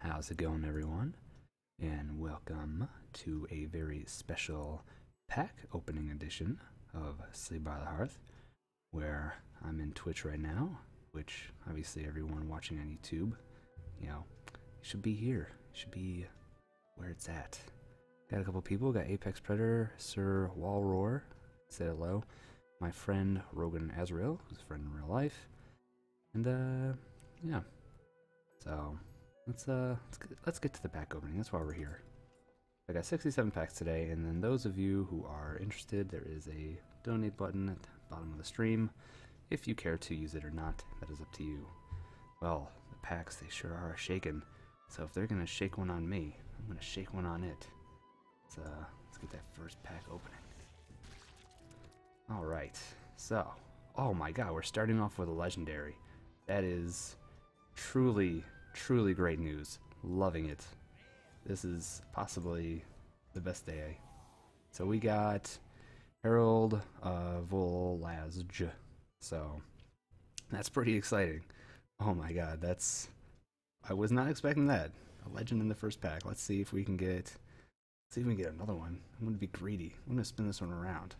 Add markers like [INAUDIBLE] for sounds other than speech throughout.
How's it going, everyone? And welcome to a very special pack opening edition of Sleep by the Hearth, where I'm in Twitch right now, which obviously everyone watching on YouTube, you know, should be here, should be where it's at. Got a couple people, got Apex Predator, Sir Walroar, said hello, my friend Rogan Azrael, who's a friend in real life, and uh, yeah. So let's uh let's get, to the pack opening. That's why we're here. I got 67 packs today, and then those of you who are interested, there is a donate button at the bottom of the stream. If you care to use it or not, that is up to you. Well, the packs, they sure are shaking. So if they're gonna shake one on me, I'm gonna shake one on it. Let's, uh, let's get that first pack opening. All right, so, oh my god, we're starting off with a legendary. That is truly, truly great news. Loving it. This is possibly the best day. So we got Harold uh, Volazj. So that's pretty exciting. Oh my god, that's I was not expecting that. A legend in the first pack. Let's see if we can get. Let's see if we can get another one. I'm gonna be greedy. I'm gonna spin this one around.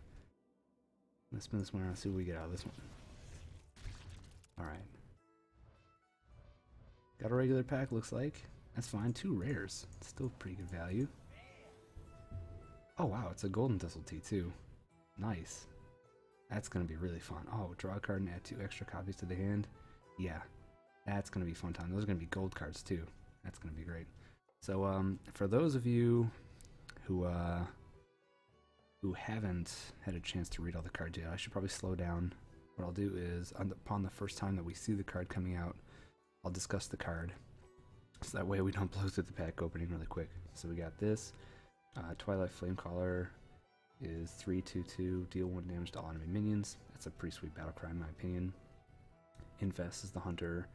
I'm gonna spin this one around. See what we get out of this one. All right. Got a regular pack. Looks like that's fine. Two rares. still pretty good value. Oh wow, it's a golden thistle tea too. Nice. That's gonna be really fun. Oh, draw a card and add two extra copies to the hand. Yeah, that's going to be fun time. Those are going to be gold cards too. That's going to be great. So um, for those of you who uh, who haven't had a chance to read all the cards yet, I should probably slow down. What I'll do is, upon the first time that we see the card coming out, I'll discuss the card. So that way we don't [LAUGHS] blow through the pack opening really quick. So we got this. Uh, Twilight Flamecaller is 322, deal 1 damage to all enemy minions. That's a pretty sweet battlecry in my opinion. Infest is the hunter.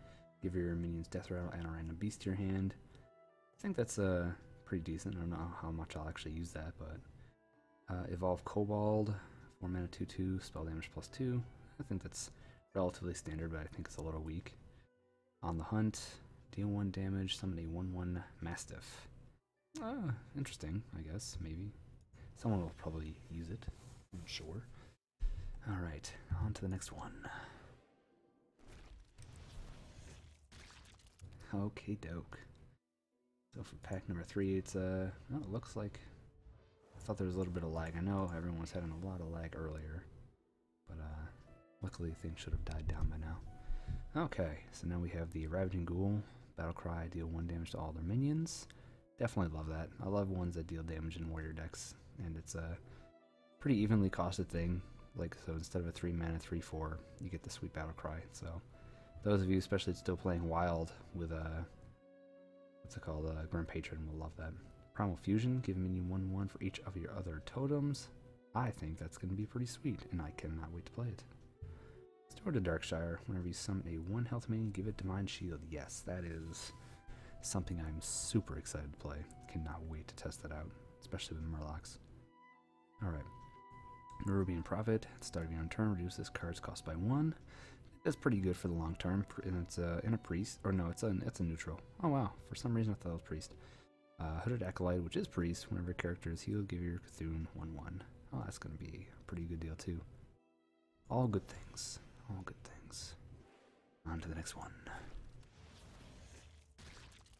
Give your minions death rattle and a random beast to your hand. I think that's a uh, pretty decent. I don't know how much I'll actually use that, but uh, evolve Kobold, four mana two two, spell damage plus two. I think that's relatively standard, but I think it's a little weak. On the hunt, deal one damage, summon a one one Mastiff. Uh, interesting, I guess, maybe. Someone will probably use it, I'm sure. Alright, on to the next one. Okay, doke. So for pack number three, it's, uh, oh, looks like, I thought there was a little bit of lag. I know everyone was having a lot of lag earlier, but, uh, luckily things should have died down by now. Okay, so now we have the Ravaging Ghoul, Battle Cry, deal one damage to all their minions. Definitely love that. I love ones that deal damage in warrior decks, and it's a pretty evenly costed thing. Like, so instead of a 3 mana, 3 4, you get the sweet battle cry. So, those of you, especially still playing wild with a. Uh, what's it called? A uh, Grim Patron will love that. Primal Fusion, give minion 1 1 for each of your other totems. I think that's going to be pretty sweet, and I cannot wait to play it. Store to Darkshire. Whenever you summon a one health minion, give it to Divine Shield. Yes, that is something I'm super excited to play. Cannot wait to test that out, especially with Murlocs. Alright. Nerubian Prophet. At start of your own turn, reduce this card's cost by one. That's pretty good for the long term, and it's in a priest, or no, it's a, it's a neutral. Oh wow, for some reason I thought it was priest. Uh, Hooded Acolyte, which is priest, whenever a character is healed, give your Cthulhu 1-1. Oh, that's going to be a pretty good deal too. All good things. All good things. On to the next one.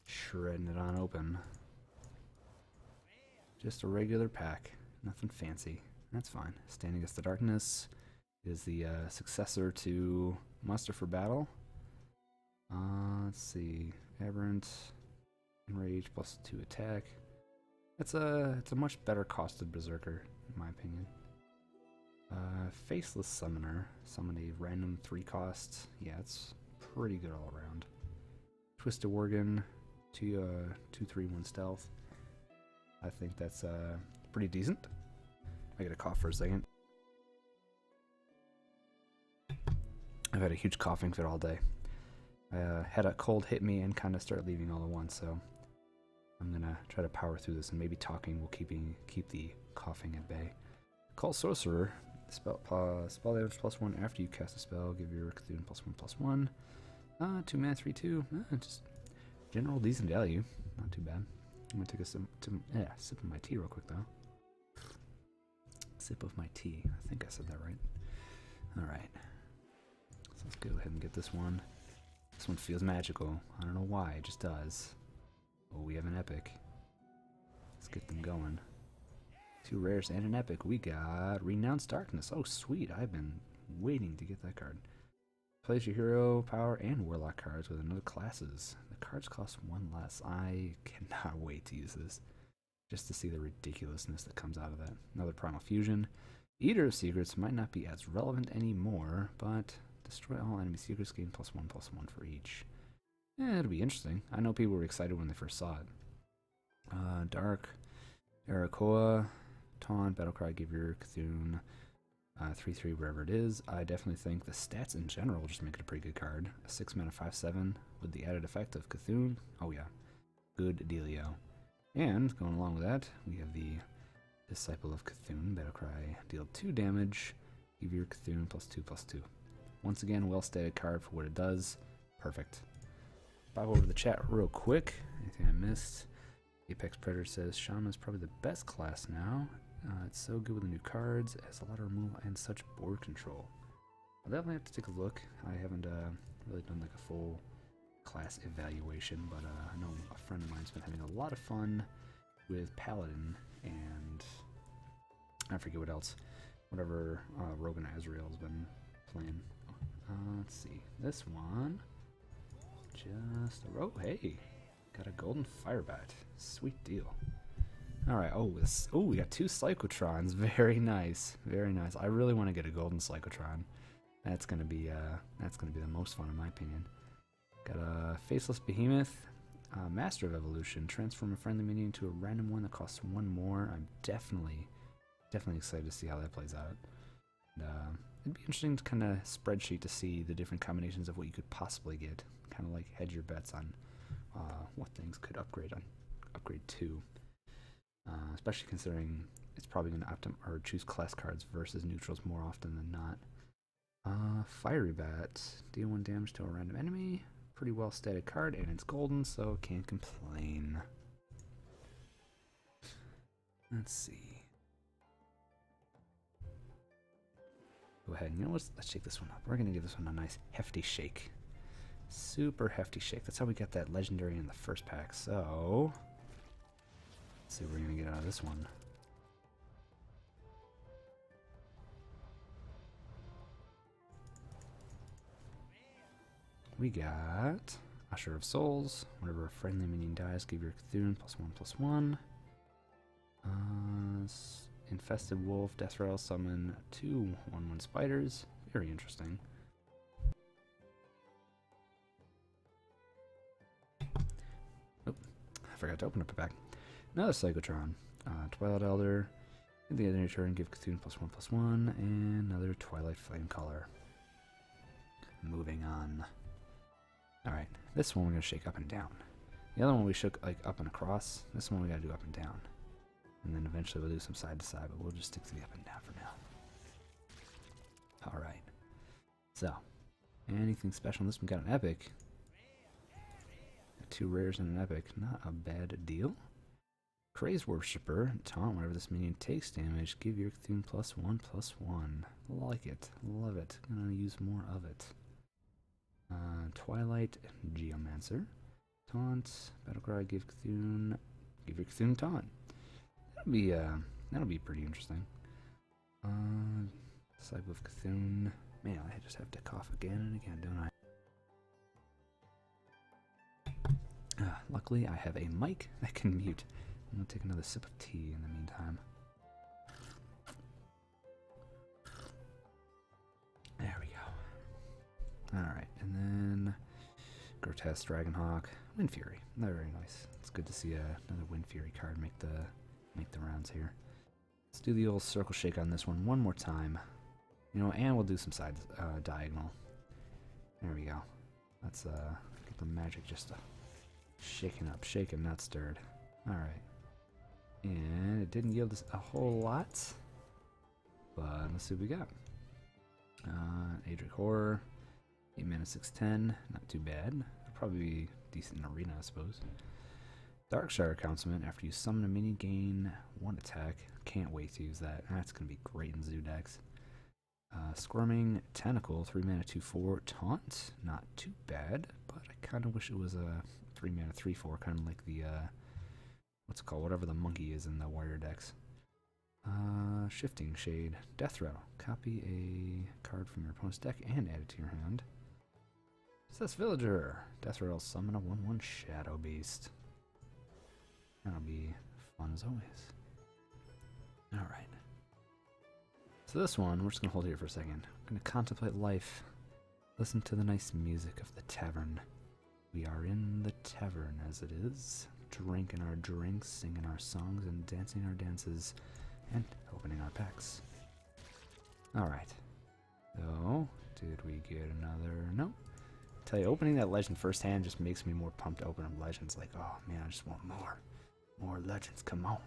Shredding it on open. Just a regular pack. Nothing fancy. That's fine. Standing Against the Darkness is the uh, successor to Muster for Battle. Uh, let's see. Aberrant. Enrage plus two attack. It's a it's a much better costed berserker, in my opinion. Uh, Faceless Summoner. Summon a random three costs. Yeah, it's pretty good all around. Twisted Worgen, two uh two three one stealth. I think that's uh pretty decent. I get a cough for a second. I've had a huge coughing fit all day. I uh, had a cold hit me and kind of start leaving all at once. So I'm gonna try to power through this, and maybe talking will keeping keep the coughing at bay. Call sorcerer. Spell damage plus one after you cast a spell. Give your student plus one plus one. two mana, three two. Ah, just general decent value. Not too bad. I'm gonna take a sip, yeah, sip of my tea real quick though. Sip of my tea. I think I said that right. All right let's go ahead and get this one. This one feels magical. I don't know why, it just does. Oh, we have an epic. Let's get them going. Two rares and an epic. We got Renounced Darkness. Oh, sweet. I've been waiting to get that card. Plays your hero, power, and warlock cards with another classes. The cards cost one less. I [LAUGHS] cannot wait to use this. Just to see the ridiculousness that comes out of that. Another Primal Fusion. Eater of Secrets might not be as relevant anymore, but destroy all enemy secrets, gain plus one, plus one for each. Eh, it'll be interesting. I know people were excited when they first saw it. Uh, Dark, Arakoa, Taunt, Battlecry, Givir, Cthulhu, uh, 3-3, wherever it is. I definitely think the stats in general just make it a pretty good card. 6 mana 5-7 with the added effect of Cthulhu. Oh yeah. Good Delio, And going along with that, we have the Disciple of Cthulhu Battle Cry. Deal 2 damage. Give your Cthulhu plus 2 plus 2. Once again, well stated card for what it does. Perfect. Pop over to the chat real quick. Anything I missed? Apex Predator says Shaman is probably the best class now. Uh, it's so good with the new cards, has a lot of removal and such board control. definitely have to take a look. I haven't uh, really done like a full class evaluation, but uh, I know a friend of mine's been having a lot of fun with Paladin and I forget what else, whatever uh, Rogan israel has been playing. Uh, let's see, this one, just a oh, rope. hey, got a golden fire bat. sweet deal. All right. Oh, this. Oh, we got two Psychotrons. [LAUGHS] Very nice. Very nice. I really want to get a golden Psychotron. That's gonna be uh, that's gonna be the most fun in my opinion. Got a faceless behemoth, master of evolution. Transform a friendly minion to a random one that costs one more. I'm definitely definitely excited to see how that plays out. Uh, it'd be interesting to kind of spreadsheet to see the different combinations of what you could possibly get. Kind of like hedge your bets on uh, what things could upgrade on upgrade to. Uh, especially considering it's probably going to opt or choose class cards versus neutrals more often than not. Uh, fiery Bat, deal one damage to a random enemy. Pretty well stated card, and it's golden, so can't complain. Let's see. Go ahead, and you know what? Let's shake this one up. We're going to give this one a nice hefty shake. Super hefty shake. That's how we got that legendary in the first pack so... Let's see what we're gonna get out of this one. We got Usher of Souls. Whenever a friendly minion dies, give your Cthulhu plus one plus one. Uh, infested Wolf, Death Rattle, summon two one one spiders. Very interesting. Oop, I forgot to open up the pack. Another Psychotron, uh, Twilight Elder. the other of turn, give Cthulhu plus one plus one, and another Twilight Flame Color. Moving on. Alright, this one we're going to shake up and down. The other one we shook like up and across. This one we got to do up and down. And then eventually we'll do some side to side, but we'll just stick to the up and down for now. Alright. So, anything special in this one? Got an epic. Two rares and an epic. Not a bad deal. Craze Worshipper, taunt whenever this minion takes damage, give your Cthulhu plus one plus one. Like it. Love it. Gonna use more of it. Uh, Twilight Geomancer. Taunt, Battlecry, give Cthulhu, give your Cthulhu taunt. That'll be uh, that'll be pretty interesting. Uh, Disciple of Cthulhu. Man, I just have to cough again and again, don't I? Uh, luckily, I have a mic that can mute. I'm gonna take another sip of tea in the meantime. There we go. Alright, and then Grotesque Dragonhawk, Wind Fury. Not very nice. It's good to see uh, another Wind Fury card make the make the rounds here. Let's do the old circle shake on this one one more time. You know, and we'll do some side uh, diagonal. There we go. Let's uh, get the magic just uh, shaken up, shaken, not stirred. All right. And it didn't yield us a whole lot, but let's see what we got. Uh, Adric Horror. 8 mana, 610. Not too bad. probably decent in Arena, I suppose. Darkshire Councilman. After you summon a mini, gain 1 attack. Can't wait to use that. That's going to be great in Zoo decks. Uh, Squirming Tentacle, 3 mana, 2 4. Taunt. Not too bad, but I kind of wish it was a 3 mana, 3 4, kind of like the. Uh, what's it called? Whatever the monkey is in the warrior decks. Uh, shifting Shade. Death Rattle. Copy a card from your opponent's deck and add it to your hand. Says Villager. Death Rattle summon a 1-1 Shadow Beast. That'll be fun as always. Alright. So this one, we're just going to hold here for a second. I'm going to contemplate life. Listen to the nice music of the tavern. We are in the tavern as it is, drinking our drinks, singing our songs, and dancing our dances, and opening our packs. Alright. Oh, did we get another? No. tell you, opening that legend firsthand just makes me more pumped to open up legends. Like, oh man, I just want more. More legends, come on.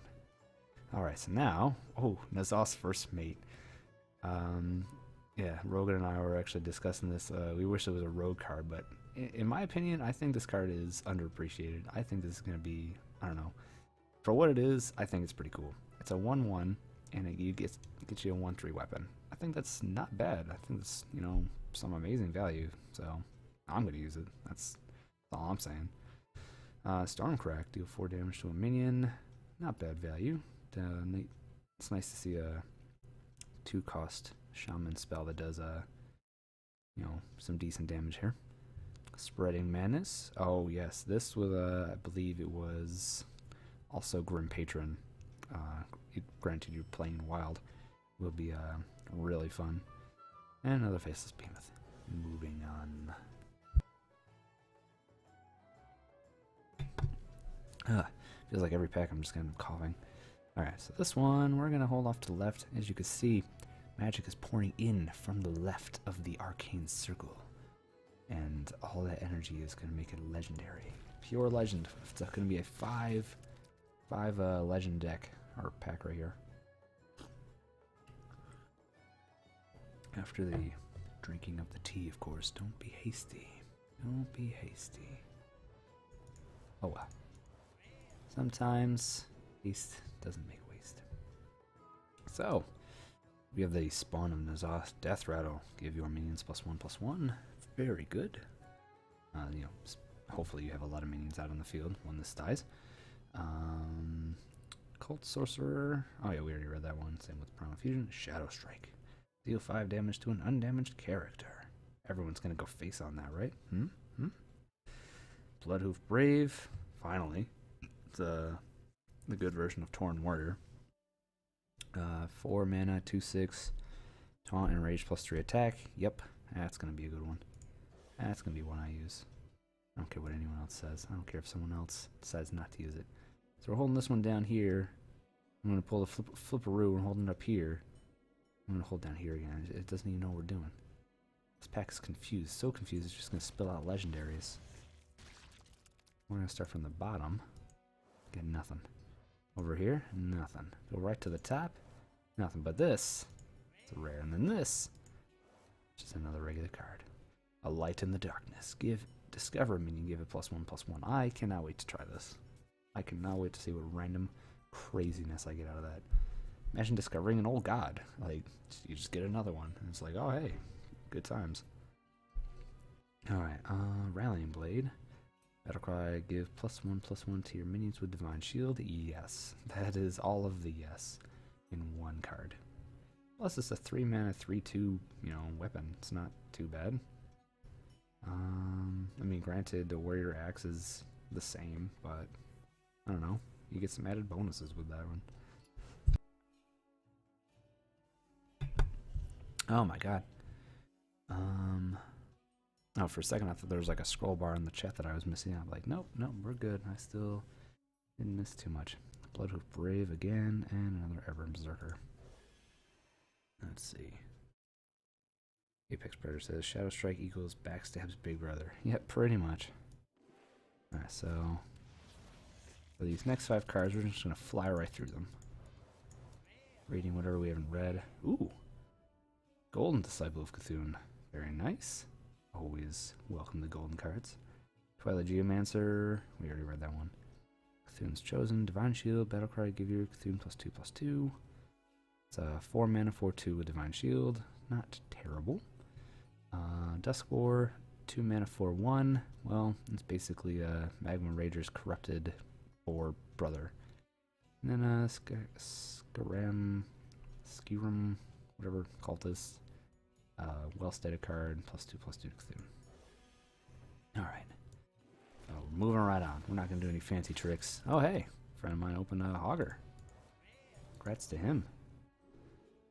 Alright, so now, oh, Nazar's first mate. Um, yeah, Rogan and I were actually discussing this. Uh, we wish it was a road card, but in my opinion, I think this card is underappreciated. I think this is going to be, I don't know, for what it is, I think it's pretty cool. It's a 1-1, and it, gets, it gets you a 1-3 weapon. I think that's not bad. I think it's you know, some amazing value, so I'm going to use it. That's, all I'm saying. Uh, crack deal 4 damage to a minion. Not bad value. it's nice to see a two cost shaman spell that does uh you know some decent damage here. Spreading madness. Oh yes, this was uh, I believe it was also Grim Patron. Uh, it granted, you're playing wild, will be uh, really fun. another faceless behemoth. Moving on. feels like every pack I'm just kind of coughing. Alright, so this one, we're going to hold off to the left. As you can see, magic is pouring in from the left of the arcane circle. And all that energy is going to make it legendary. Pure legend. It's going to be a five, five uh, legend deck, or pack right here. After the drinking of the tea, of course, don't be hasty. Don't be hasty. Oh well. Sometimes haste doesn't make waste. So, we have the spawn of Nazoth Death Rattle. Give your minions plus one plus one. Very good. Uh, you know, hopefully you have a lot of minions out on the field when this dies. Um, Cult Sorcerer. Oh yeah, we already read that one. Same with Primal Fusion. Shadow Strike. Deal 5 damage to an undamaged character. Everyone's gonna go face on that, right? Hmm? Hmm? Bloodhoof Brave. Finally. The, the good version of Torn Warrior. Uh, 4 mana, 2 6. Taunt and Rage plus 3 attack. Yep. That's gonna be a good one. That's gonna be one I use. I don't care what anyone else says. I don't care if someone else decides not to use it. So we're holding this one down here. I'm going to pull the flip flipperoo and hold it up here. I'm gonna hold down here again. It doesn't even know what we're doing. This pack is confused. So confused, it's just gonna spill out legendaries. I'm gonna start from the bottom. Get nothing. Over here, nothing. Go right to the top, nothing. But this, it's a rare. And then this, just another regular card. A light in the darkness. Give discover meaning Give it plus one, plus one. I cannot wait to try this. I cannot wait to see what random craziness I get out of that. Imagine discovering an old god. Like, you just get another one. And it's like, oh, hey, good times. Alright, uh, Rallying Blade. Battlecry, give plus one, plus one to your minions with Divine Shield. Yes. [LAUGHS] That is all of the yes in one card. Plus, it's a three mana, three two, you know, weapon. It's not too bad. Um, I mean, granted, the warrior axe is the same, but I don't know. You get some added bonuses with that one. Oh my god. Um. Oh, for a second I thought there was like a scroll bar in the chat that I was missing. I'm like, nope, nope, we're good. I still didn't miss too much. Bloodhoof Brave again, and another Ever Berserker. Let's see. Apex Predator says Shadow Strike equals backstabs Big Brother. [LAUGHS] Yep, pretty much. Alright, so for these next five cards, we're just gonna fly right through them. Reading whatever we haven't read. Ooh. Golden Disciple of Cthulhu. Very nice. Always welcome the golden cards. Twilight Geomancer. We already read that one. Cthulhu's Chosen. Divine Shield. Battlecry. Give you Cthulhu plus two plus two. It's a 4 mana, 4 2 with Divine Shield. Not terrible. Uh, Dusklore, 2 mana, 4 1. Well, it's basically a uh, Magma Rager's corrupted or brother. And then uh, Sk Skaram, Skiram, whatever cult uh, well-stated card, plus 2, plus 2 to Alright. So moving right on. We're not going to do any fancy tricks. Oh, hey. friend of mine open a hogger. Congrats to him.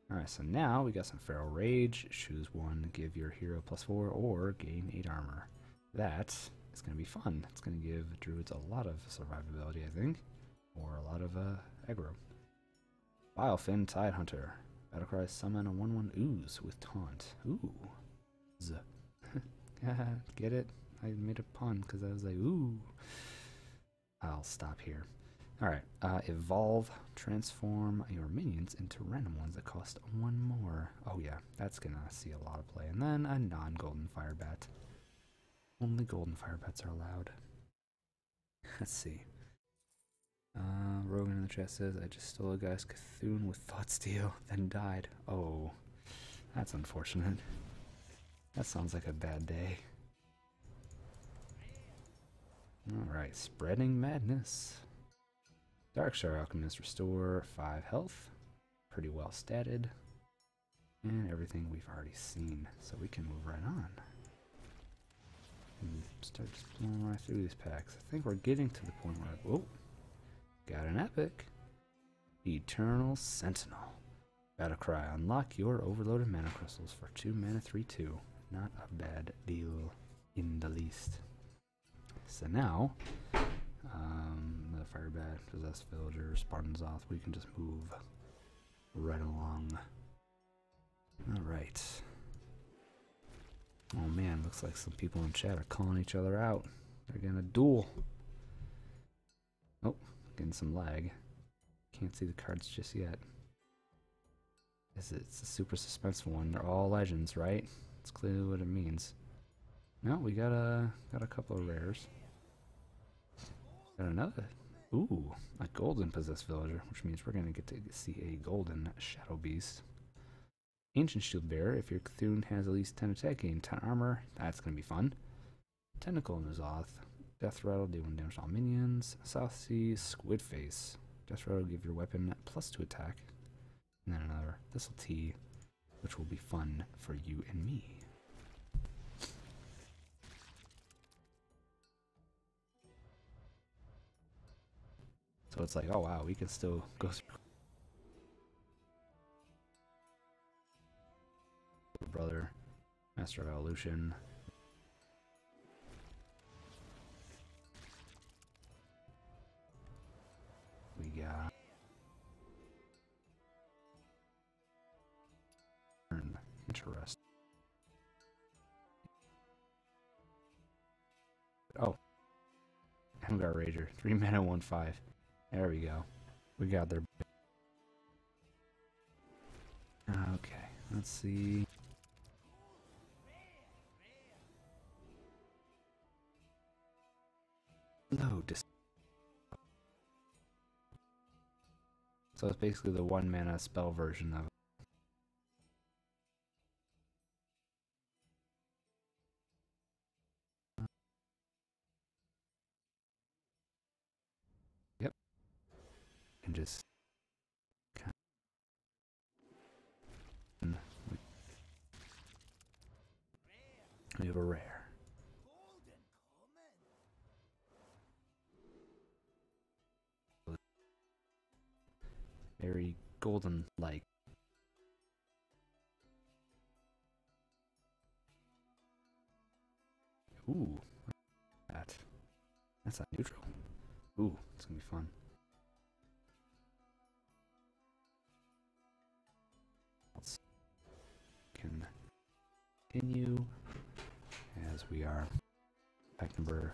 Alright, so now we got some Feral Rage. Choose one, give your hero plus four, or gain eight armor. That is going to be fun. It's going to give druids a lot of survivability, I think, or a lot of uh, aggro. Bilefin Tidehunter. Battlecry summon a 1 1 ooze with taunt. Ooh. [LAUGHS] Get it? I made a pun because I was like, ooh. I'll stop here. Alright, uh, evolve, transform your minions into random ones that cost one more. Oh yeah, that's gonna see a lot of play. And then a non-golden fire bat. Only golden fire bats are allowed. [LAUGHS] Let's see. Uh, Rogan in the chat says, I just stole a guy's Cthulhu with thought steal, then died. Oh. That's unfortunate. That sounds like a bad day. Alright, spreading madness. Dark Shard Alchemist restore 5 health. Pretty well statted. And everything we've already seen, so we can move right on. And start just blowing right through these packs. I think we're getting to the point where, oh, got an epic. Eternal Sentinel. Battle cry. Unlock your overloaded mana crystals for 2 mana 3 2. Not a bad deal in the least. So now, um, the Firebat, Possessed Villager, Spartan Zoth, we can just move right along. Alright. Oh man, looks like some people in chat are calling each other out. They're gonna duel. Oh, getting some lag. Can't see the cards just yet. Is it's a super suspenseful one. They're all legends, right? It's clearly what it means. No, we got a got a couple of rares. Got another. Ooh, a golden possessed villager, which means we're gonna get to see a golden shadow beast. Ancient Shield Bearer. If your Cthulhu has at least 10 attack, gain 10 armor. That's going to be fun. Tentacle Nazoth. Death Rattle, do 1 damage to all minions. South Sea Squid Face. Death Rattle, give your weapon plus 2 attack. And then another this Thistle T, which will be fun for you and me. So it's like, oh wow, we can still go through Brother, Master Evolution. We got. Interesting. Oh, Hamgar Rager. Three mana, one five. There we go. We got their. Okay, let's see. Low So it's basically the one mana spell version of it. Yep. And just we have a rare. Very golden like Ooh, that. That's not neutral. Ooh, it's gonna be fun. Let's continue as we are pack number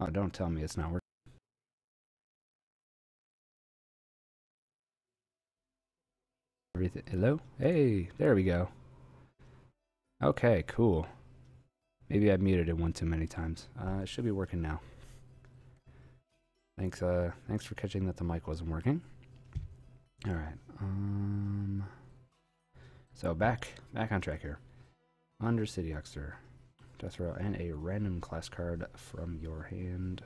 Oh, don't tell me it's not working. Hello? Hey, there we go. Okay, cool. Maybe I muted it one too many times. Uh, it should be working now. Thanks, uh, thanks for catching that the mic wasn't working. All right. Um, so back, back on track here. Under Undercity Oxter, Jethro, and a random class card from your hand,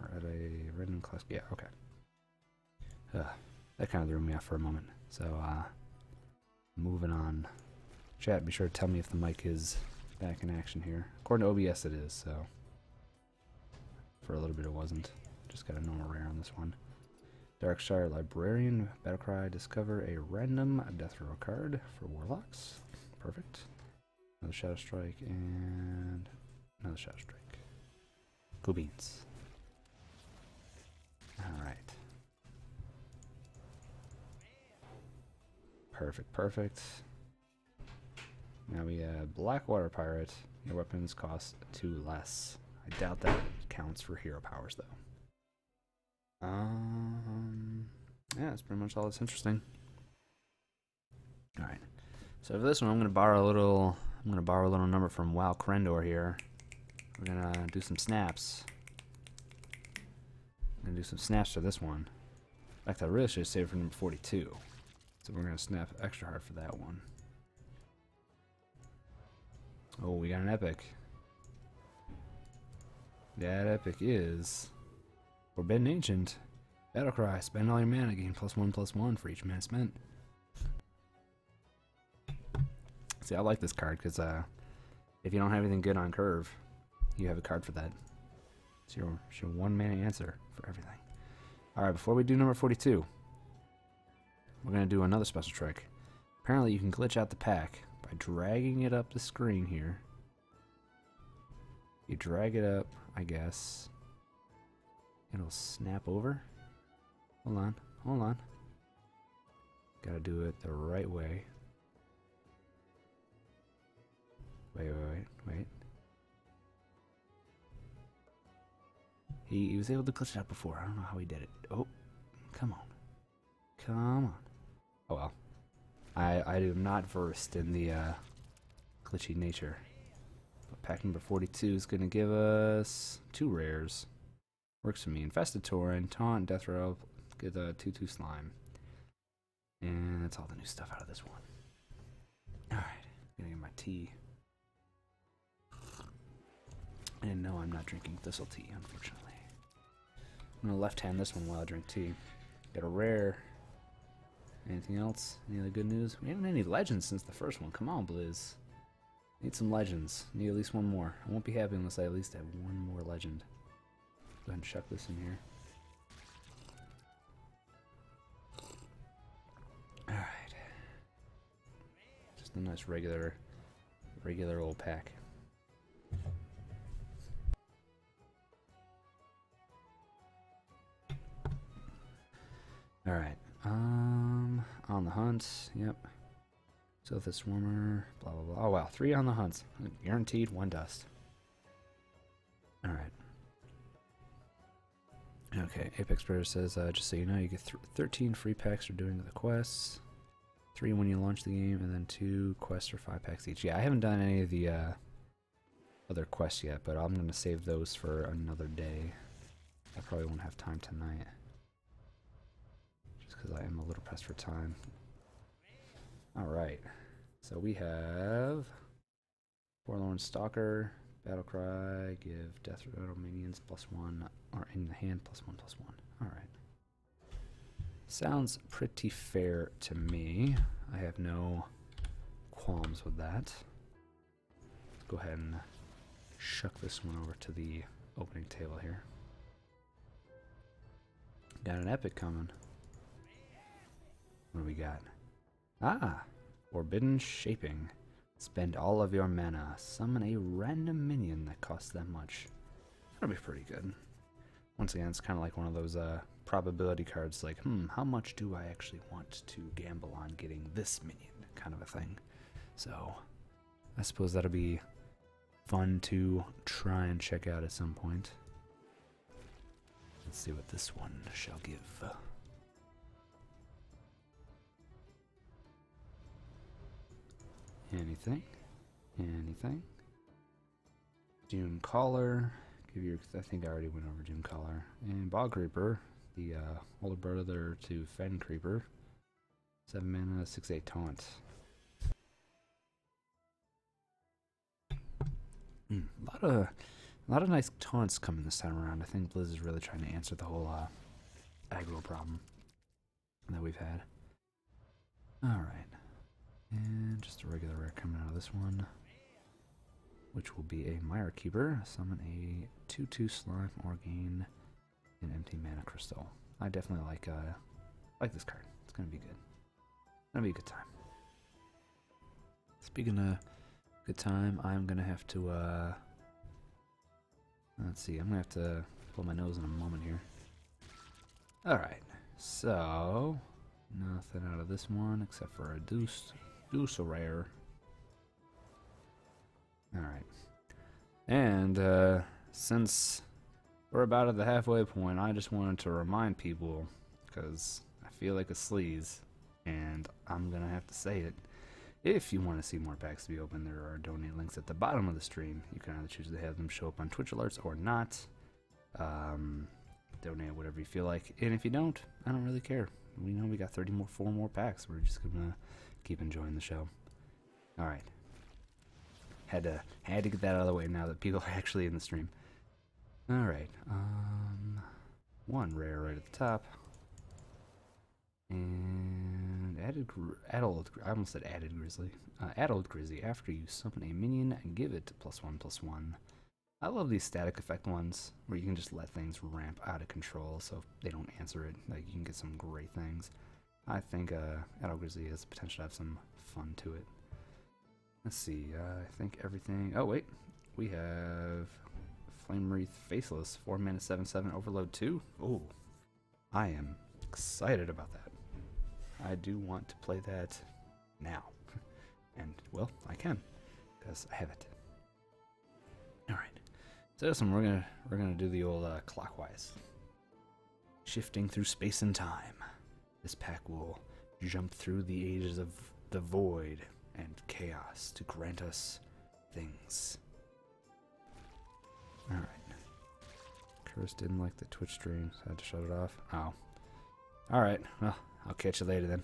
or at a random class. Yeah, okay. that kind of threw me off for a moment. So uh, Moving on. Chat, be sure to tell me if the mic is back in action here. According to OBS, it is, so. For a little bit, it wasn't. Just got a normal rare on this one. Darkshire Librarian, Battlecry, discover a random death row card for Warlocks. Perfect. Another Shadow Strike, and another Shadow Strike. Cool beans. Alright. Perfect, perfect. Now we have Blackwater Pirate. Your weapons cost two less. I doubt that counts for hero powers, though. Um, yeah, that's pretty much all that's interesting. All right. So for this one, I'm gonna borrow a little. I'm gonna borrow a little number from Wow Krendor here. We're gonna do some snaps. I'm gonna do some snaps to this one. In fact, I really should save for number 42. So we're gonna snap extra hard for that one. Oh, we got an epic. That epic is Forbidden Ancient. battle cry. spend all your mana, gain plus one plus one for each mana spent. See, I like this card because uh, if you don't have anything good on curve, you have a card for that. It's it's your one man answer for everything. All right, before we do number 42, we're going to do another special trick. Apparently, you can glitch out the pack by dragging it up the screen here. You drag it up, I guess. It'll snap over. Hold on, hold on. Gotta do it the right way. Wait, wait, wait, wait. He, was able to glitch it out before. I don't know how he did it. Oh, come on. Come on. Oh well. I, I am not versed in the uh, glitchy nature. But pack number 42 is going to give us two rares. Works for me. Infestator and Taunt, Death Rattle, get the 2-2 Slime. And that's all the new stuff out of this one. Alright, gonna get my tea. And no, I'm not drinking thistle tea, unfortunately. I'm gonna left hand this one while I drink tea. Got a rare. Anything else? Any other good news? We haven't had any legends since the first one. Come on, Blizz. Need some legends. Need at least one more. I won't be happy unless I at least have one more legend. Go ahead and chuck this in here. Alright. Just a nice regular, regular old pack. Alright. Um, on the hunt. Yep. So the swarmer, blah, blah, blah. Oh, wow. Three on the hunts. Guaranteed one dust. All right. Okay, Apex Predator says, uh, just so you know, you get 13 free packs for doing the quests. Three when you launch the game, and then two quests for five packs each. Yeah, I haven't done any of the uh, other quests yet, but I'm going to save those for another day. I probably won't have time tonight just because I am a little pressed for time. All right, so we have Forlorn Stalker, Battlecry, give Death Rattle minions plus one, or in the hand plus one plus one. All right. Sounds pretty fair to me. I have no qualms with that. Let's go ahead and shuck this one over to the opening table here. Got an epic coming. What do we got? Ah! Forbidden Shaping. Spend all of your mana. Summon a random minion that costs that much. That'll be pretty good. Once again, it's kind of like one of those uh, probability cards, like, hmm, how much do I actually want to gamble on getting this minion kind of a thing. So, I suppose that'll be fun to try and check out at some point. Let's see what this one shall give. Anything? Anything? Doom Caller. Give your. I think I already went over Doom Caller and Bog Creeper, the uh, older brother to Fen Creeper. Seven mana, six eight taunts. Hmm, a lot of a lot of nice taunts coming this time around. I think Blizzard is really trying to answer the whole uh, aggro problem that we've had. Alright. And just a regular rare coming out of this one. Which will be a Mire Keeper. Summon a 2-2 slime or gain an empty mana crystal. I definitely like uh, like this card. It's gonna be good. Gonna be a good time. Speaking of good time, I'm gonna have to uh, let's see, I'm gonna have to pull my nose in a moment here. Alright, so nothing out of this one except for a deuce deuce rare. Alright. And uh, since we're about at the halfway point, I just wanted to remind people, because I feel like a sleaze, and I'm going to have to say it. If you want to see more packs to be open, there are donate links at the bottom of the stream. You can either choose to have them show up on Twitch alerts or not. Um, donate whatever you feel like. And if you don't, I don't really care. We know we got 30 more, four more packs. We're just going to keep enjoying the show. Alright. Had to had to get that out of the way now that people are [LAUGHS] actually in the stream. Alright, um one rare right at the top. And added adult I almost said added grizzly. Uh, adult grizzly after you summon a minion and give it plus one plus one. I love these static effect ones where you can just let things ramp out of control so if they don't answer it, like you can get some great things. I think uh, Adol Grizzly has potential to have some fun to it. Let's see, uh, I think everything... Oh, wait. We have Flame Wreath Faceless, 4 mana 7 7 Overload 2. Oh, I am excited about that. I do want to play that now. [LAUGHS] and, well, I can, because I have it. Alright. So this we're gonna, we're gonna do the old uh, clockwise. Shifting through space and time, this pack will jump through the ages of the void and chaos to grant us things. Alright. Curse didn't like the Twitch stream, so I had to shut it off. Oh. Alright, well, I'll catch you later then.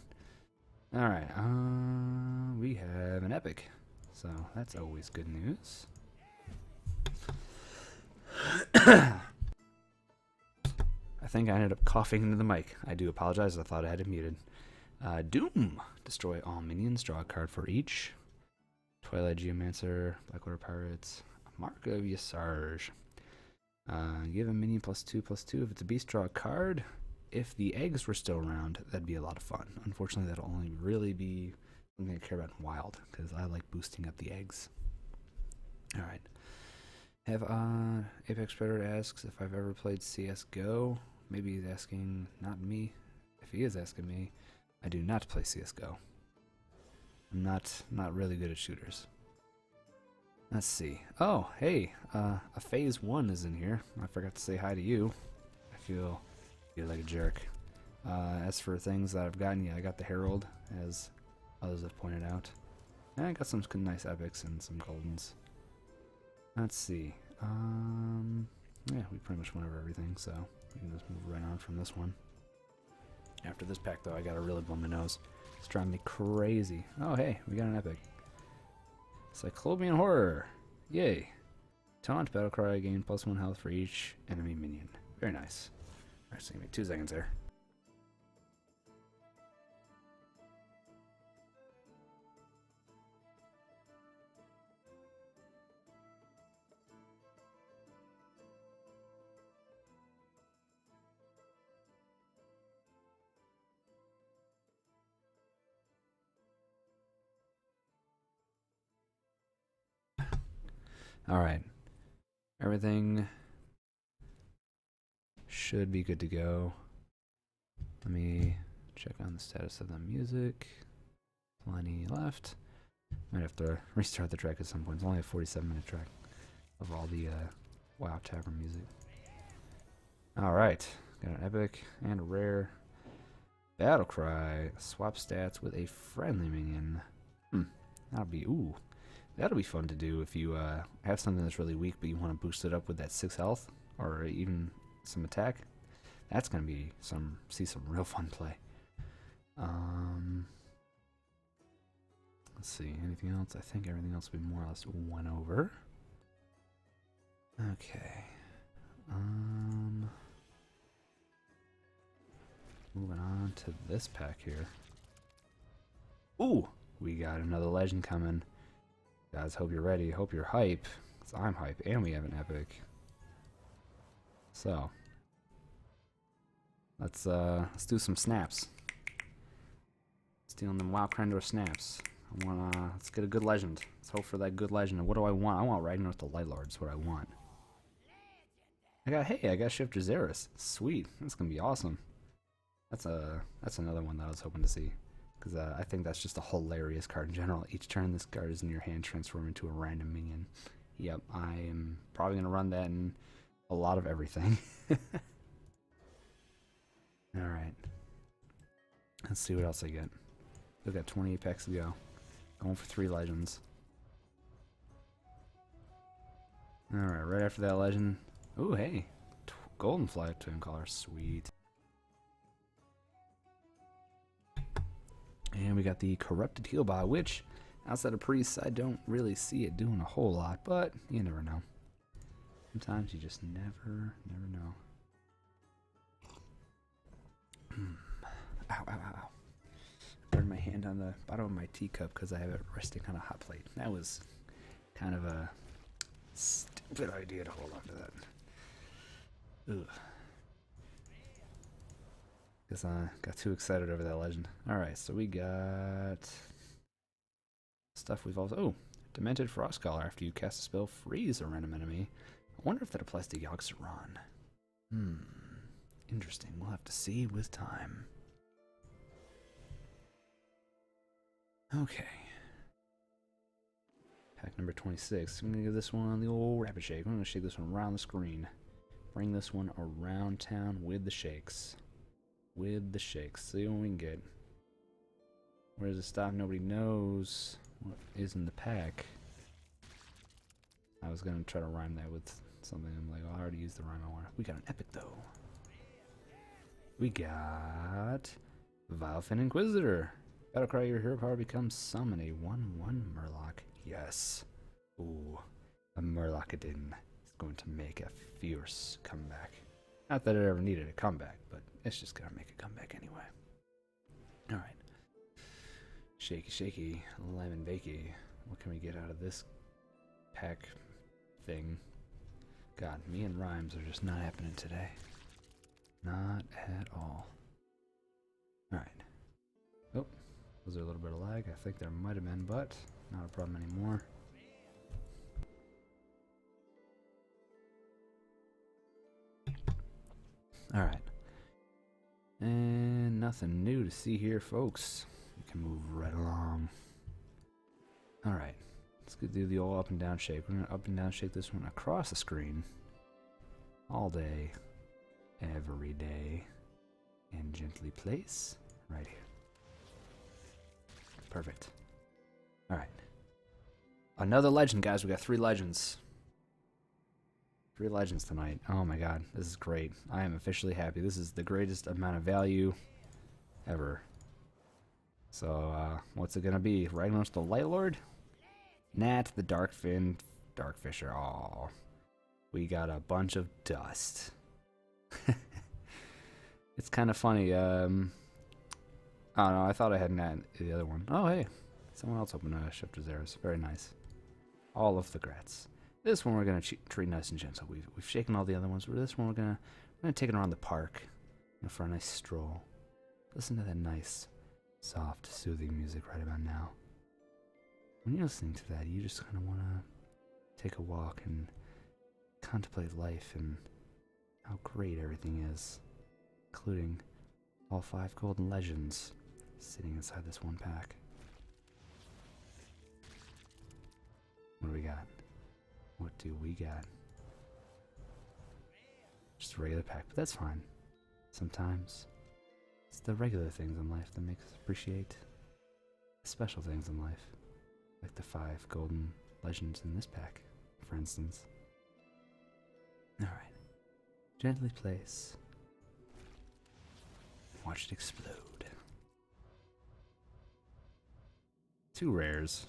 Alright, uh, we have an epic. So that's always good news. I think I ended up coughing into the mic. I do apologize. I thought I had it muted. Uh, Doom. Destroy all minions. Draw a card for each. Twilight Geomancer. Blackwater Pirates. Mark of Yasarge. give uh, a minion plus two, plus two. If it's a beast, draw a card. If the eggs were still around, that'd be a lot of fun. Unfortunately, that'll only really be I'm gonna care about wild because I like boosting up the eggs. All right. Have uh, Apex Predator asks if I've ever played CS:GO. Maybe he's asking not me. If he is asking me, I do not play CS:GO. I'm not not really good at shooters. Let's see. Oh, hey, uh, a phase one is in here. I forgot to say hi to you. I feel you like a jerk. Uh, as for things that I've gotten, yeah, I got the Herald, as others have pointed out. And I got some nice epics and some goldens. Let's see. Um, yeah, we pretty much went over everything, so we can just move right on from this one. After this pack, though, I gotta really blow my nose. It's driving me crazy. Oh, hey, we got an epic. Cyclopean Horror! Yay! Taunt battle cry, gain plus one health for each enemy minion. Very nice. Alright, so give me two seconds there. All right. Everything should be good to go. Let me check on the status of the music. Plenty left. Might have to restart the track at some point. It's only a 47 minute track of all the uh, WoW Tavern music. Alright, got an epic and a rare. Battle cry. Swap stats with a friendly minion. Hmm. That'll be ooh. That'll be fun to do if you uh, have something that's really weak, but you want to boost it up with that six health or even some attack. That's gonna be some see some real fun play. Um, let's see, anything else? I think everything else will be more or less one over. Okay. Um, Moving on to this pack here. Ooh, we got another legend coming. Guys, hope you're ready. Hope you're hype. I'm hype, and we have an epic. So, let's uh, let's do some snaps. Stealing them Wild Crandor snaps. I want to, let's get a good legend. Let's hope for that good legend. what do I want? I want Ragnar with the Light Lord is what I want. I got hey, I got Shifter Zeros. Sweet, that's gonna be awesome. That's a that's another one that I was hoping to see because uh, I think that's just a hilarious card in general. Each turn this card is in your hand, transform into a random minion. Yep, I am probably gonna run that in a lot of everything. [LAUGHS] All right, let's see what else I get. We've got 20 packs to go. Going for three legends. Alright, right after that legend. Ooh, hey. golden flight twin collar. Sweet. And we got the Corrupted Healbot, which, outside of Priests, I don't really see it doing a whole lot, but you never know. Sometimes you just never, never know. Hmm. ow, Burned my hand on the bottom of my teacup because I have it resting on a hot plate. That was kind of a stupid idea to hold on to that. Ugh. Because I got too excited over that legend. Alright, so we got stuff we Oh, Demented Frostcaller. After you cast a spell, freeze a random enemy. I wonder if that applies to yogg Hmm. Interesting. We'll have to see with time. Okay. Pack number 26. I'm going to give this one the old rapid shake. I'm going to shake this one around the screen. Bring this one around town with the shakes. With the shakes. See what we can get. Where does it stop? Nobody knows what is in the pack. I was gonna try to rhyme that with something. I'm like, well, oh, I already used the rhyme I want. We got an epic though. We got Vilefin Inquisitor. cry your hero power becomes summon a 1-1 Murlock. Yes. Ooh, a Murlocadin is going to make a fierce comeback. Not that it ever needed a comeback, but it's just gonna make a comeback anyway. Alright. Shaky, shaky, lemon bakey. What can we get out of this pack thing? God, me and rhymes are just not happening today. Not at all. Alright. Oh, was there a little bit of lag? I think there might have been, but not a problem anymore. Alright. And nothing new to see here, folks. We can move right along. Alright, let's do the all up and down shape. We're going to up and down shape this one across the screen. All day. Every day. And gently place right here. Perfect. Alright. Another legend, guys. We got three legends. Three legends tonight. Oh my god, this is great. I am officially happy. This is the greatest amount of value ever. So, uh, what's it gonna be? Ragnaros the Light Lord? Nat the Darkfin Fisher. Oh, we got a bunch of dust. [LAUGHS] it's kind of funny. Um, I I thought I had Nat the other one. Oh, hey. Someone else opened a Shifter's Errors. Very nice all of the grats. This one we're going to treat nice and gentle. We've, we've shaken all the other ones. This one we're going to we're gonna take it around the park for a nice stroll. Listen to that nice, soft, soothing music right about now. When you're listening to that, you just kind of want to take a walk and contemplate life and how great everything is, including all five golden legends sitting inside this one pack. What do we got? What do we got? Just a regular pack, but that's fine. Sometimes it's the regular things in life that make us appreciate special things in life, like the five golden legends in this pack, for instance. Alright, Gently place. Watch it explode. Two rares.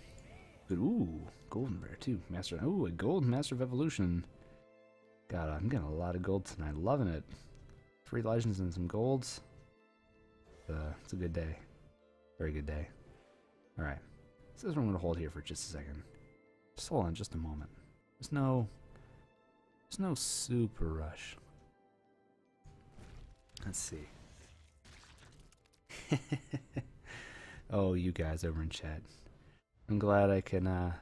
But ooh, golden rare too. Master ooh, a gold master of evolution. God, I'm getting a lot of gold tonight. Loving it. Three legends and some golds. Uh, it's a good day. Very good day. Alright. This is what I'm going to hold here for just a second. Just hold on just a moment. There's no... There's no super rush. Let's see. [LAUGHS] oh, you guys over in chat. I'm glad I can, uh...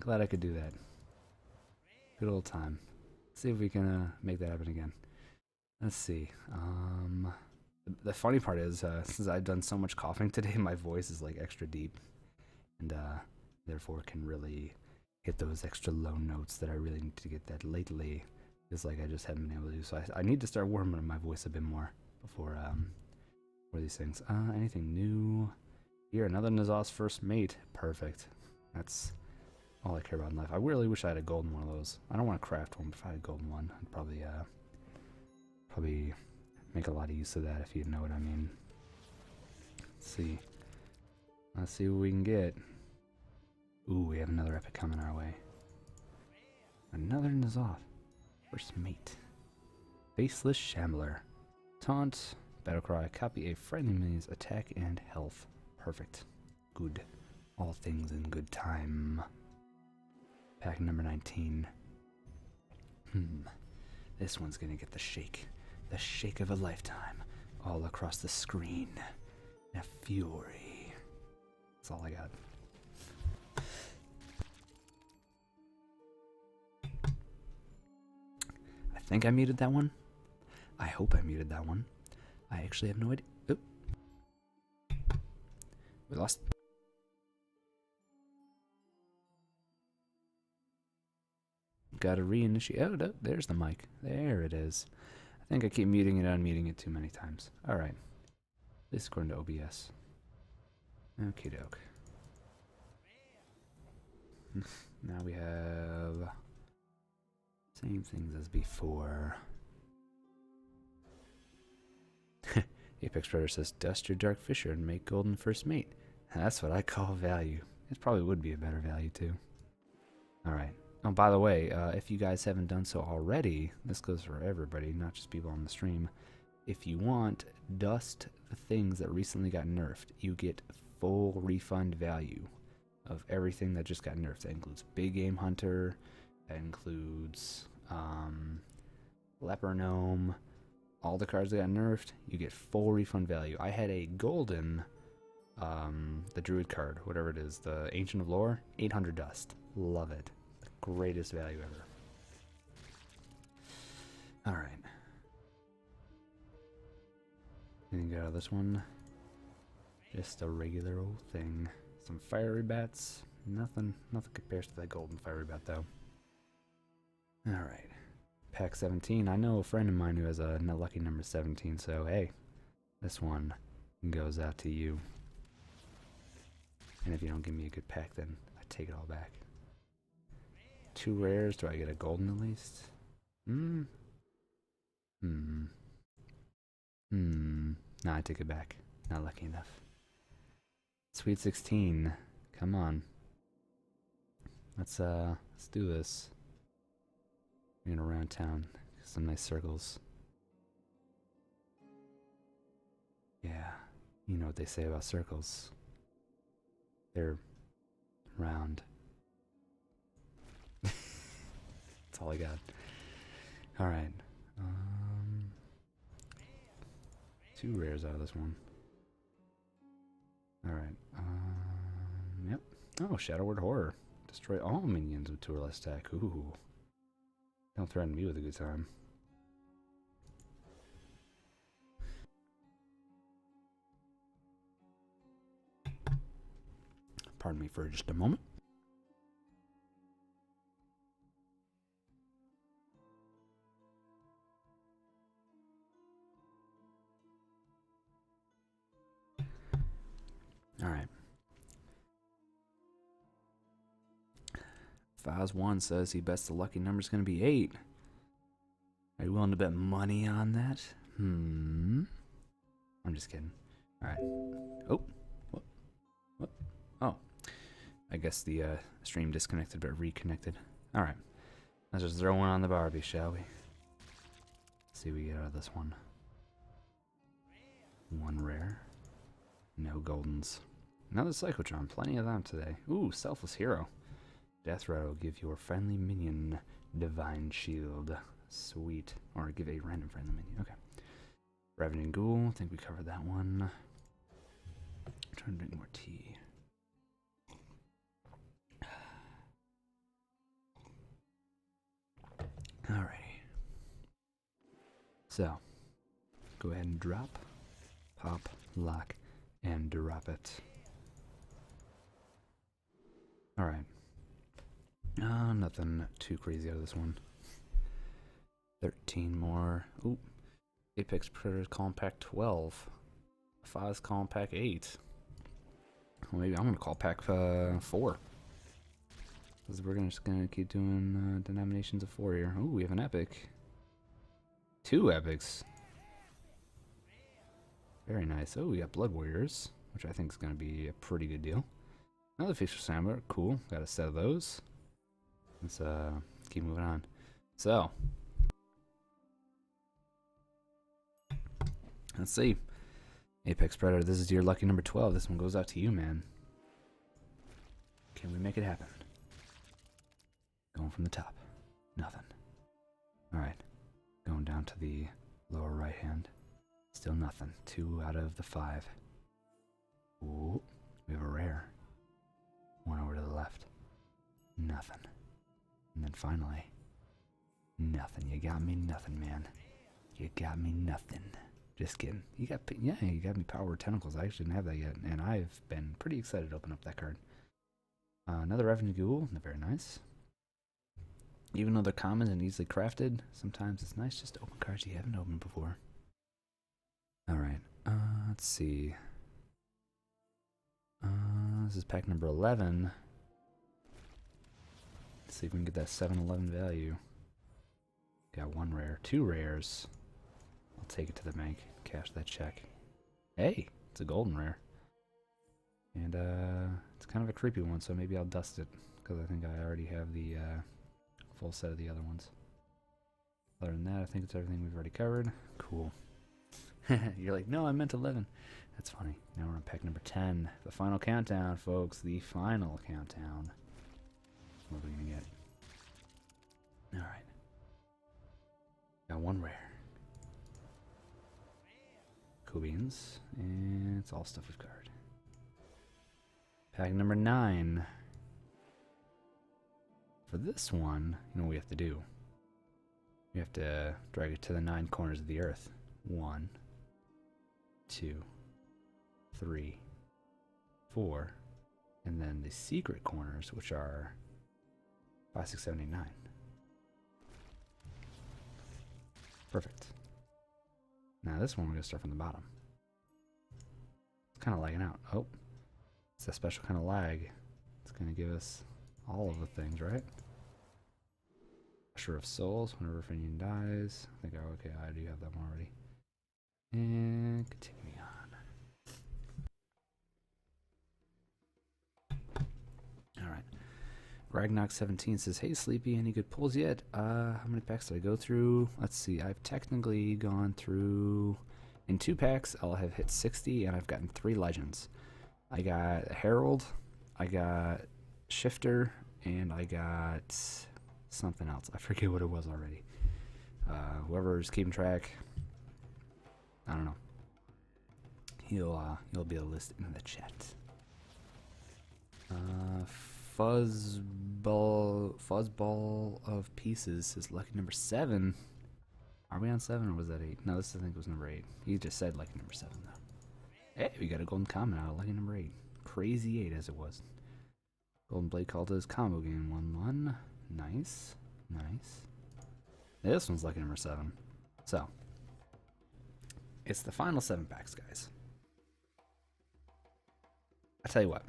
Glad I could do that. Good old time. see if we can uh, make that happen again. Let's see. Um, the funny part is, uh, since I've done so much coughing [LAUGHS] today, my voice is like extra deep, and uh, therefore can really hit those extra low notes that I really need to get that lately. Just like I just haven't been able to do. So I, I need to start warming my voice a bit more before um for these things. Uh, anything new? Here, another Nazaz first mate. Perfect. That's all I care about in life. I really wish I had a golden one of those. I don't want to craft one, but if I had a golden one, I'd probably uh probably make a lot of use of that if you know what I mean. Let's see. Let's see what we can get. Ooh, we have another epic coming our way. Another Nazoth. First mate. Faceless Shambler. Taunt, battle cry, copy a friendly enemy's attack and health. Perfect. Good. All things in good time. Pack number 19. Hmm. This one's gonna get the shake. The shake of a lifetime. All across the screen. A fury. That's all I got. I think I muted that one. I hope I muted that one. I actually have no idea. Oop. We lost. Gotta reinitiate. Oh, there's the mic. There it is. I think I keep muting it, unmuting it too many times. All right. This is according to OBS. Okay, doke. [LAUGHS] now we have same things as before. [LAUGHS] Apex Predator says, dust your dark fisher and make golden first mate. That's what I call value. It probably would be a better value too. Alright. Oh, by the way, uh, if you guys haven't done so already, this goes for everybody, not just people on the stream. If you want, dust the things that recently got nerfed. You get full refund value of everything that just got nerfed. That includes Big Game Hunter, that includes um, Leper Gnome, all the cards that got nerfed, you get full refund value. I had a golden, um, the druid card, whatever it is, the Ancient of Lore, 800 dust. Love it. The greatest value ever. All right. Anything good out of this one? Just a regular old thing. Some fiery bats. Nothing. Nothing compares to that golden fiery bat, though. All right. Pack 17. I know a friend of mine who has a lucky number 17, so hey, this one goes out to you. And if you don't give me a good pack, then I take it all back. Two rares. Do I get a golden at least? Hmm. Hmm. Hmm. Nah, I take it back. Not lucky enough. Sweet 16. Come on. Let's uh, let's do this. And around town, some nice circles. Yeah, you know what they say about circles. They're round. [LAUGHS] That's all I got. All right. Um, two rares out of this one. Alright. Um, yep. Oh, Shadow Word Horror. Destroy all minions with two or less attack. Ooh. Don't threaten me with a good time. Pardon me for just a moment. All right. Files one says he bets the lucky number is going to be eight. Are you willing to bet money on that? Hmm. I'm just kidding. All right. Oh. What? Oh. I guess the uh, stream disconnected but reconnected. All right. Let's just throw one on the Barbie, shall we? see what we get out of this one. One rare. No goldens. Another Psychotron, plenty of them today. Ooh, Selfless Hero. Death Rattle will give your friendly minion Divine Shield. Sweet. Or give a random friendly minion. Okay. Revenant Ghoul, think we covered that one. Try and drink more tea. Alrighty. So, go ahead and drop, pop, lock, and drop it. Alright. Uh, nothing too crazy out of this one. 13 more. Oop. Apex Predators Compact 12. FAS Compact 8. Well, maybe I'm gonna call pack uh, 4. Because we're just gonna keep doing uh, denominations of 4 here. Oh, we have an epic. Two epics. Very nice. Oh, we got Blood Warriors, which I think is gonna be a pretty good deal. Another Fisher Sandler. Cool. Got a set of those. Let's uh, keep moving on. So, Let's see. Apex Predator, this is your lucky number 12. This one goes out to you, man. Can we make it happen? Going from the top. Nothing. Alright. Going down to the lower right hand. Still nothing. Two out of the five. Ooh, we have a rare. One over to the left. Nothing. And then finally, nothing. You got me nothing, man. You got me nothing. Just kidding. You got yeah, you got me power tentacles. I actually didn't have that yet, and I've been pretty excited to open up that card. Uh, another revenue ghoul, very nice. Even though they're common and easily crafted, sometimes it's nice just to open cards you haven't opened before. All right, uh, let's see. Uh, this is pack number 11. see if we can get that 7-Eleven value. Got one rare, two rares. I'll take it to the bank, cash that check. Hey, it's a golden rare. And uh, it's kind of a creepy one, so maybe I'll dust it, because I think I already have the uh, full set of the other ones. Other than that, I think it's everything we've already covered. Cool. [LAUGHS] You're like, no, I meant 11. That's funny. Now we're on pack number 10. The final countdown, folks. The final countdown. What are we going to get? Alright. Got one rare. Cool And it's all stuff we've card. Pack number 9. For this one, you know what we have to do. You have to drag it to the nine corners of the earth. One, two, three, four, and then the secret corners, which are five, six, seven, eight, nine. Perfect. Now this one we're gonna start from the bottom. It's kind of lagging out. Oh, it's a special kind of lag. It's going to give us all of the things, right? Pressure of souls whenever Finian dies. I think, oh, okay, I do have that one already. And continue on. Alright. Ragnok 17 says, Hey, Sleepy, any good pulls yet? Uh, how many packs did I go through? Let's see, I've technically gone through in two packs, I'll have hit 60, and I've gotten three legends. I got Herald, I got Shifter, and I got something else. I forget what it was already. Uh, Whoever is keeping track, I don't know. you will uh, will be a list in the chat. Uh, fuzzball, fuzzball of pieces is lucky number seven. Are we on seven or was that eight? No, this I think was number eight. He just said like number seven though. Hey, we got a golden comment out of lucky number eight. Crazy eight as it was. Golden Blade called his combo game one one. Nice. Nice. This one's lucky number seven. So it's the final seven packs, guys. I tell you what.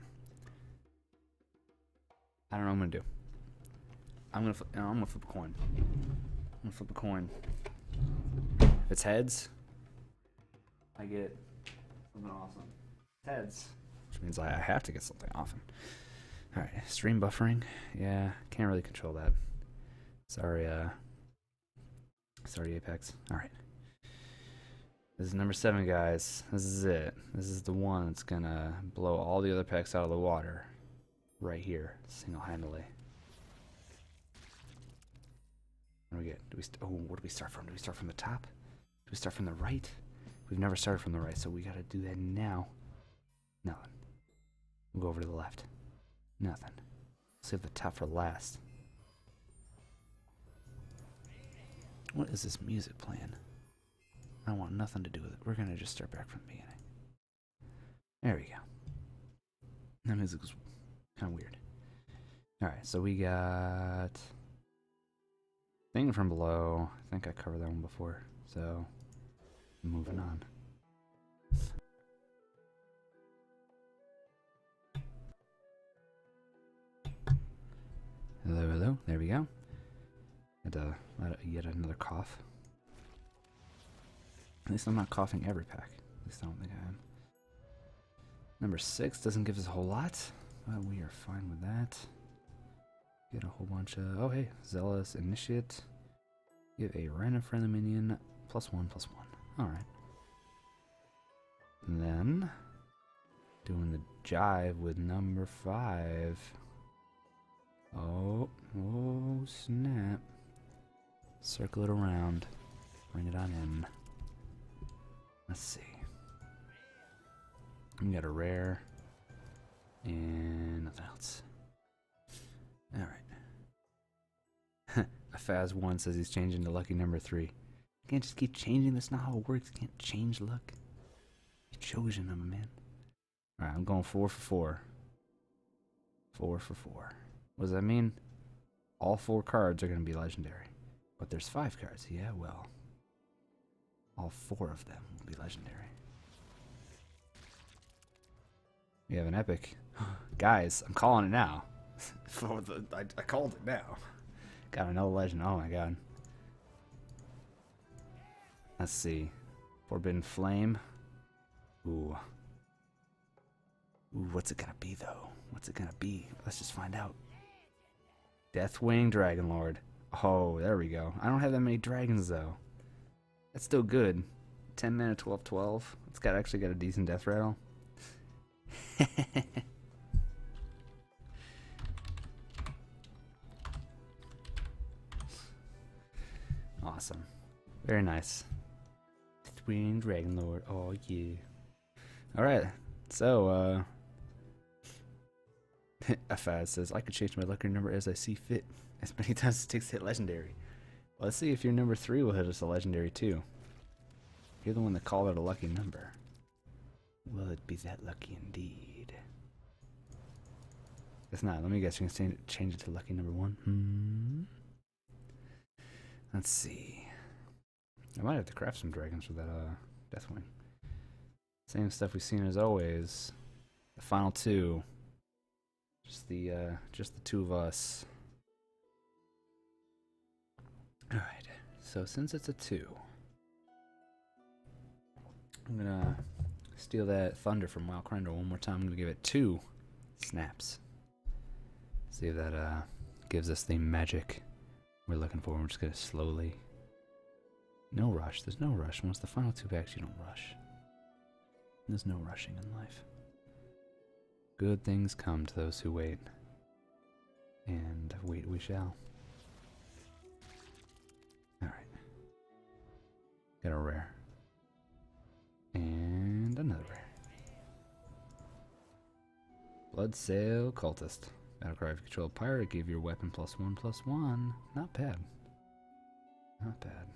I don't know what I'm gonna do. I'm gonna flip, I'm gonna flip a coin. I'm gonna flip a coin. If it's heads, I get something awesome. heads, which means I have to get something often. All right, stream buffering. Yeah, can't really control that. Sorry, uh, sorry, Apex. All right. This is number seven, guys. This is it. This is the one that's gonna blow all the other packs out of the water right here single-handedly. What we get? Do we oh, where do we start from? Do we start from the top? Do we start from the right? We've never started from the right, so we gotta do that now. Nothing. We'll go over to the left. Nothing. Save the top for last. What is this music playing? I want nothing to do with it. We're gonna just start back from the beginning. There we go. That music kind of weird. Alright, so we got... Thing from below. I think I covered that one before, so... Moving on. Hello, hello. There we go. And uh, yet another cough. At least I'm not coughing every pack. At least I don't think I am. Number six doesn't give us a whole lot, but we are fine with that. Get a whole bunch of, oh hey, Zealous Initiate. Give a random friendly minion plus one, plus one. Alright. Then, doing the jive with number five. Oh, oh snap. Circle it around. Bring it on in. Let's see. We got a rare. And nothing else. Alright. [LAUGHS] a Faz1 says he's changing to lucky number 3. Can't just keep changing, that's not how it works. Can't change luck. You've chosen them, man right, I'm going four for four. Four for four. What does that mean? All four cards are going to be legendary. But there's five cards. Yeah, well. All four of them will be legendary. We have an epic. [GASPS] Guys, I'm calling it now. [LAUGHS] I called it now. Got another legend. Oh my god. Let's see. Forbidden Flame. Ooh. Ooh, what's it gonna be though? What's it gonna be? Let's just find out. Deathwing Dragon Lord. Oh, there we go. I don't have that many dragons though. That's still good. 10 mana, 12. It's got actually got a decent death rattle. [LAUGHS] [LAUGHS] Awesome. Very nice. Twin Dragon Lord. Oh yeah. Alright. So uh [LAUGHS] FI says I can change my lucky number as I see fit. As many times as it takes to hit legendary. let's see if your number three will hit us a legendary too. You're the one that called it a lucky number. Will it be that lucky indeed? It's not. Let me guess. You can change it to lucky number one. Hmm. Let's see. I might have to craft some dragons for that uh, Deathwing. Same stuff we've seen as always. The final two. Just the uh, just the two of us. All right. So since it's a two, I'm gonna steal that thunder from Wild Crender one more time. I'm gonna give it two snaps. See if that uh, gives us the magic we're looking for. We're just gonna slowly. No rush. There's no rush. Once the final two packs, you don't rush. There's no rushing in life. Good things come to those who wait. And wait we shall. Alright. Get a rare. And another rare. Blood Sail Cultist. Battlecry of Control Pirate gave your weapon plus one plus one. Not bad. Not bad.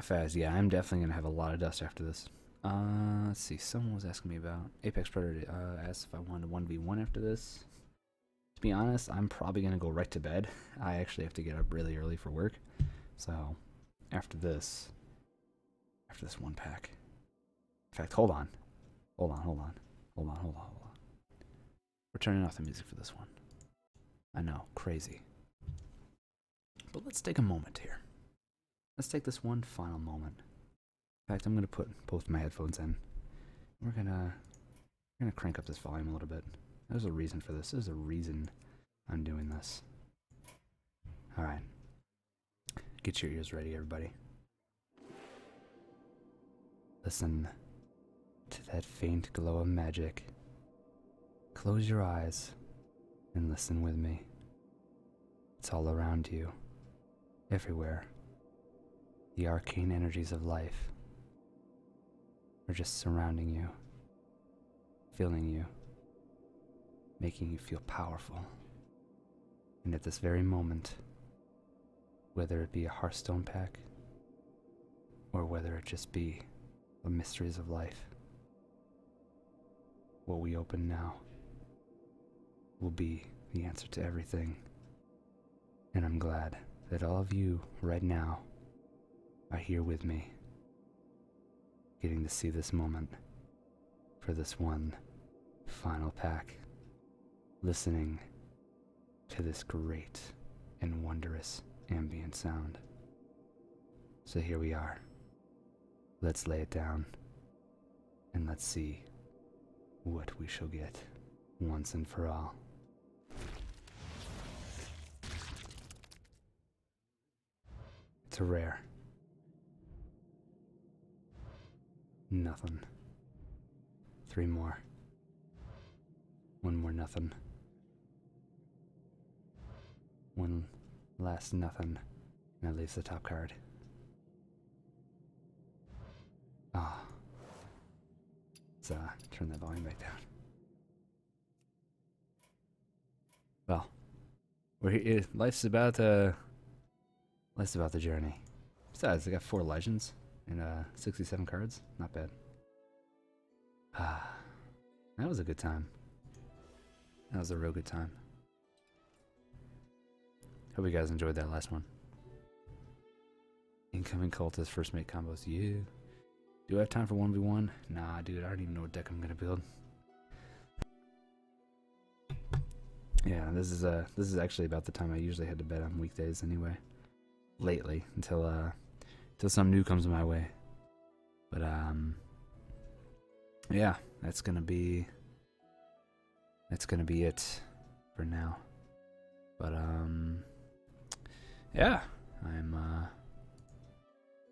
Faz, yeah, I'm definitely gonna have a lot of dust after this. Uh, let's see. Someone was asking me about Apex Predator. Uh, asked if I wanted one v one after this. To be honest, I'm probably gonna go right to bed. I actually have to get up really early for work, so after this, after this one pack. In fact, hold on, hold on, hold on, hold on, hold on. We're turning off the music for this one. I know, crazy. But let's take a moment here. Let's take this one final moment in fact, I'm gonna put both my headphones in. We're gonna gonna crank up this volume a little bit. There's a reason for this. There's a reason I'm doing this. All right, get your ears ready, everybody. Listen to that faint glow of magic. Close your eyes and listen with me. It's all around you, everywhere. The arcane energies of life are just surrounding you, filling you, making you feel powerful. And at this very moment, whether it be a Hearthstone pack, or whether it just be the mysteries of life, what we open now will be the answer to everything. And I'm glad that all of you right now are here with me, getting to see this moment for this one final pack, listening to this great and wondrous ambient sound. So here we are, Let's lay it down and let's see what we shall get once and for all. It's a rare. Nothing. Three more. One more nothing. One last nothing that leaves the top card. Ah. Let's uh, turn that volume back down. Well, we're here. Life's about uh, life's about the journey. Besides, I got four legends and uh, 67 cards. Not bad. Ah, that was a good time. That was a real good time. Hope you guys enjoyed that last one. Incoming cultist, first mate combos. You. Do I have time for 1v1? Nah, dude, I don't even know what deck I'm gonna build. Yeah, this is uh this is actually about the time I usually head to bed on weekdays anyway. Lately, until uh until something new comes my way. But um yeah, that's gonna be that's gonna be it for now. But um, yeah, I'm uh,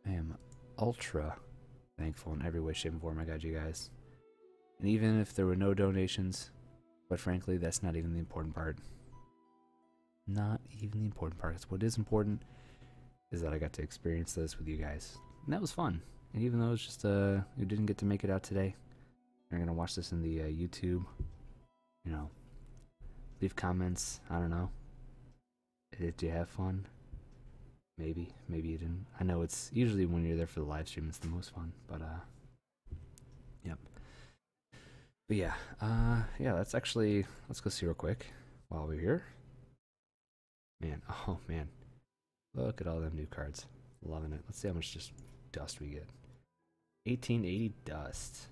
I am ultra thankful in every way, shape, and form I got you guys. And even if there were no donations, but frankly, that's not even the important part. Not even the important part. What is important is that I got to experience this with you guys that was fun. And even though it's just uh, we didn't get to make it out today, you're gonna watch this in the uh, YouTube. You know, leave comments. I don't know. Did you have fun? Maybe, maybe you didn't. I know it's usually when you're there for the live stream, it's the most fun. But uh, yep. But yeah, uh, yeah. Let's actually let's go see real quick while we're here. Man, [LAUGHS] oh man. Look at all them new cards. Loving it. Let's see how much just dust we get. 1880 dust.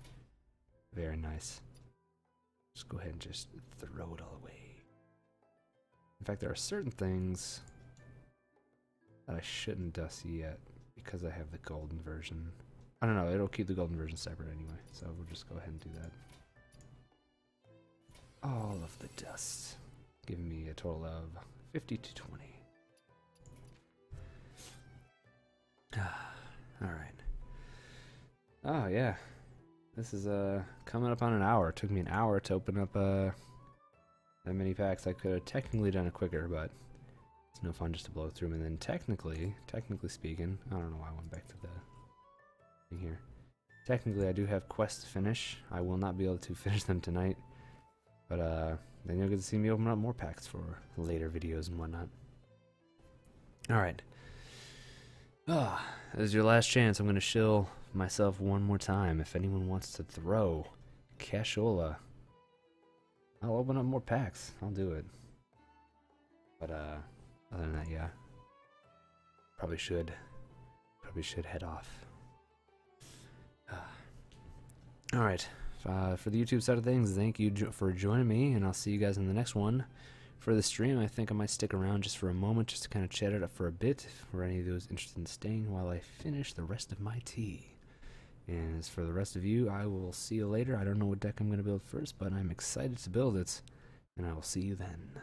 Very nice. Just go ahead and just throw it all away. In fact, there are certain things that I shouldn't dust yet because I have the golden version. I don't know, it'll keep the golden version separate anyway, so we'll just go ahead and do that all of the dust, giving me a total of 50 to 20. [SIGHS] all right. Oh, yeah. This is uh, coming up on an hour. It took me an hour to open up uh, that many packs. I could have technically done it quicker, but it's no fun just to blow through And then technically, technically speaking, I don't know why I went back to the thing here. Technically, I do have quests to finish. I will not be able to [LAUGHS] finish them tonight. But uh, then you'll get to see me open up more packs for later videos and whatnot. Alright. Ah, oh, this is your last chance. I'm going to shill myself one more time. If anyone wants to throw Cashola, I'll open up more packs. I'll do it. But uh, other than that, yeah. Probably should. Probably should head off. Ah. All right. Uh, for the YouTube side of things, thank you for joining me, and I'll see you guys in the next one. For the stream, I think I might stick around just for a moment, just to kind of chat it up for a bit, for any of those interested in staying while I finish the rest of my tea. And as for the rest of you, I will see you later. I don't know what deck I'm going to build first, but I'm excited to build it, and I will see you then.